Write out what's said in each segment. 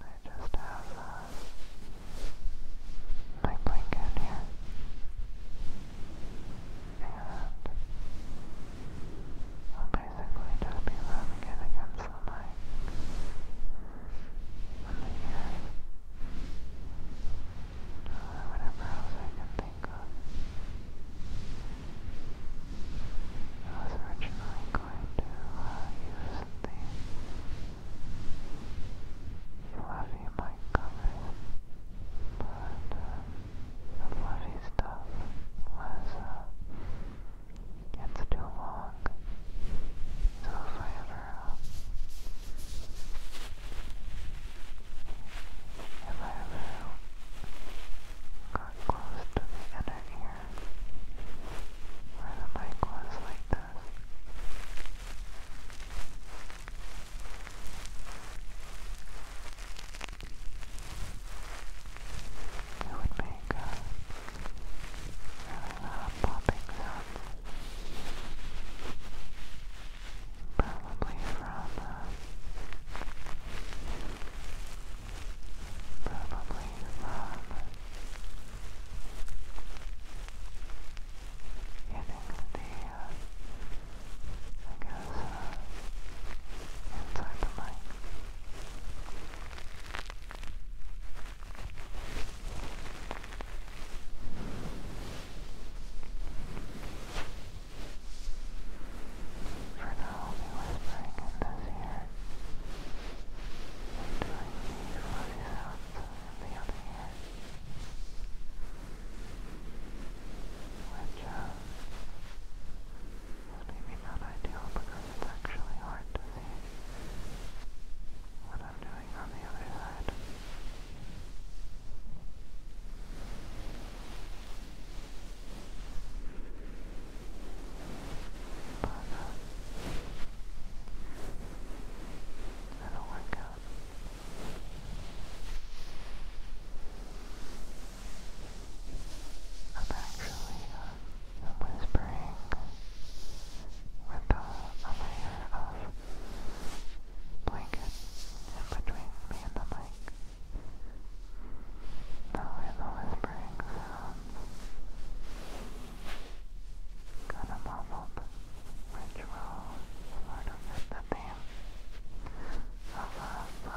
I just have uh, my blanket here, and I'll basically just be rubbing it against the mic on the whatever else I can think of. It was going to uh, use the fluffy mic covers, but the fluffy stuff was, uh, it's too long, so if I ever, uh, if I ever got close to the inner ear, where the mic was like this. It would make really loud popping sound. Probably from uh, probably from getting the, I guess, inside the mic. For now, I'll whispering in this ear do I need for this the other hand? Which, is maybe not ideal because it's actually hard to see what I'm doing on the other side. But uh, that'll work out. I'm actually uh, I'm whispering with a layer of blanket in between me and the mic. That way the whispering sounds kind of muffled, which will sort of the theme of a uh,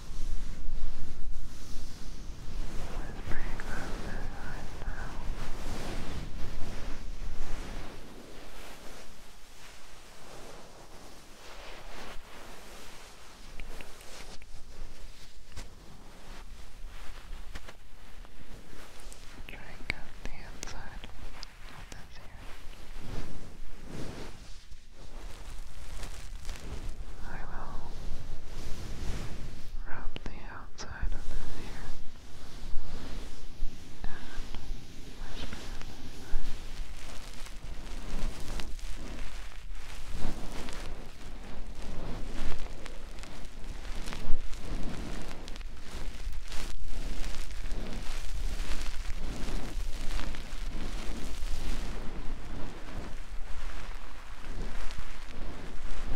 It's pretty the side now. Drink out the inside of this ear. I will rub the outside of this ear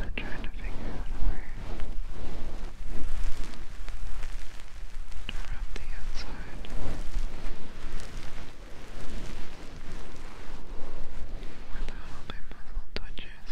I'm trying to figure out where to rub the inside. Without all my muzzle touches. I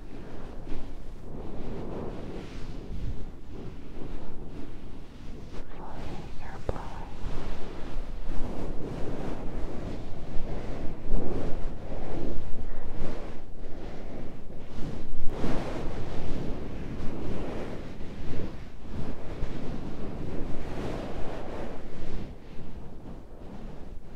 Blowing, air blowing. Blowing,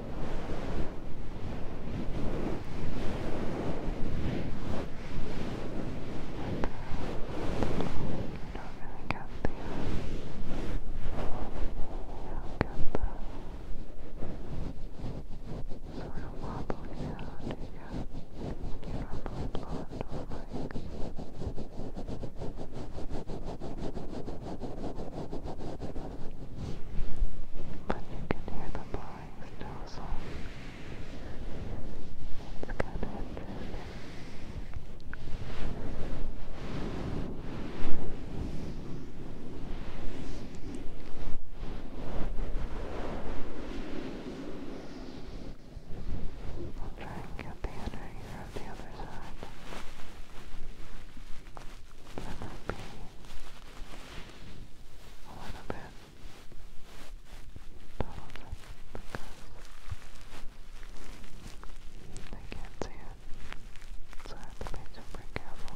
don't really get the you don't get the sort of wobbly sound you get you normally bond or like but you can hear the blowing snow It's kind of interesting. I'll try and get the energy of the other side. Let be a little bit taller because I can't see it, so I have to be super careful.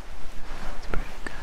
That's pretty good. All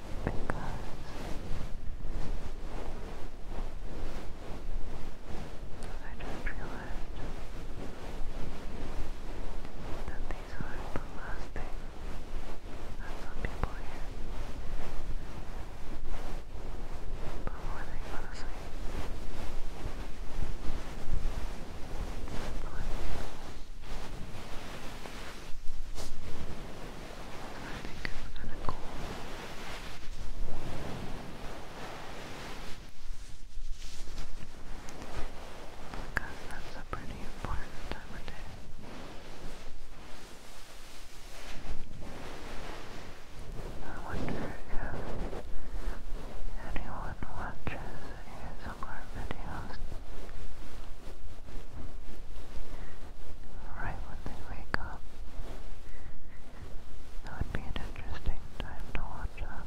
I don't that these are the last thing that some people hear before they go to sleep. I think it's kind of cool. Because that's a pretty important time of day. I wonder if anyone watches ASMR videos house. Right when they wake up. That would be an interesting time to watch up.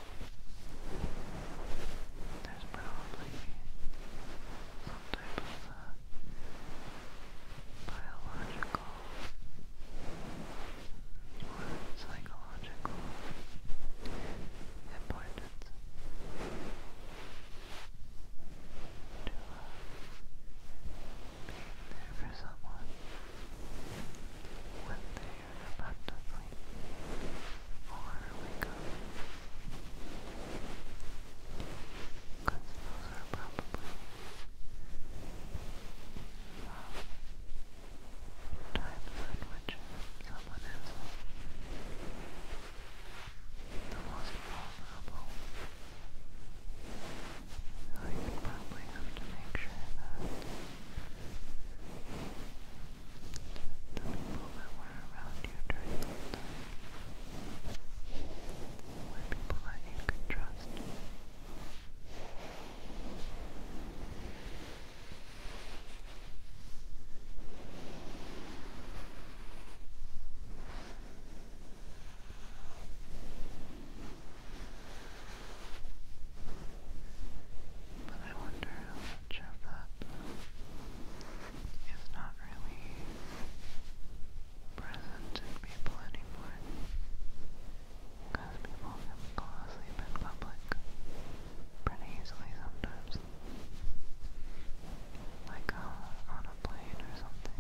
There's probably some type of uh, biological or psychological importance to uh, being there for someone tired abundantly or Because those are probably times in which someone is the most vulnerable. So you probably have to make sure that the people that were around you during those times were people that you could trust. But I wonder how much of that is not really present in people anymore. Because people can fall asleep in public pretty easily sometimes. Like uh, on a plane or something.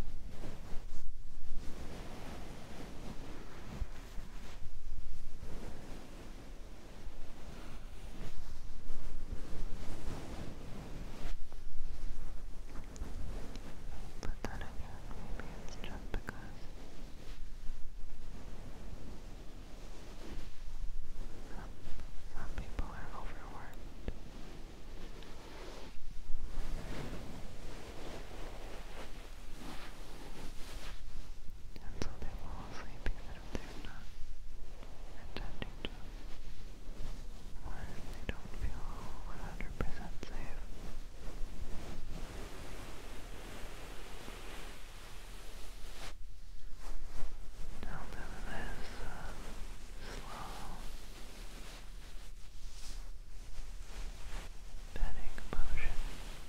But then again, maybe it's just because some, people are overworked. And so they fall asleep of they're not attending to, or they don't feel 100 safe. Now do this uh, slow petting motion.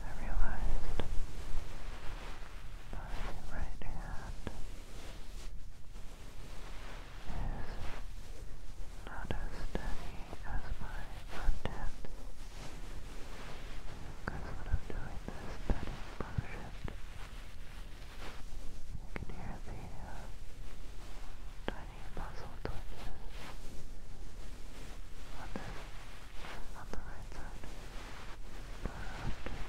I realized my right hand is not as steady as my left because when I'm doing this petting motion, you can hear the uh, tiny muscle twitches on this, on the right side. Not often. But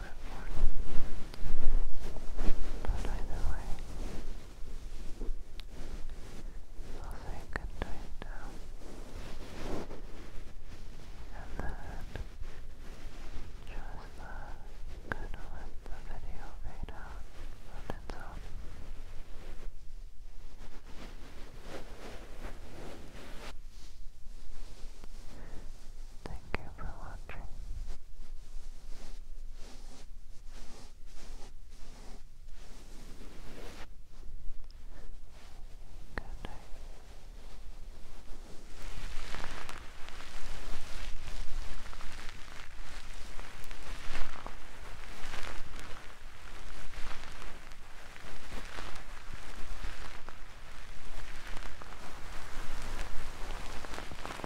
to it But either way, I'll say good now. And then just uh, kind let the video fade out on its own. Thank you for watching. Good night.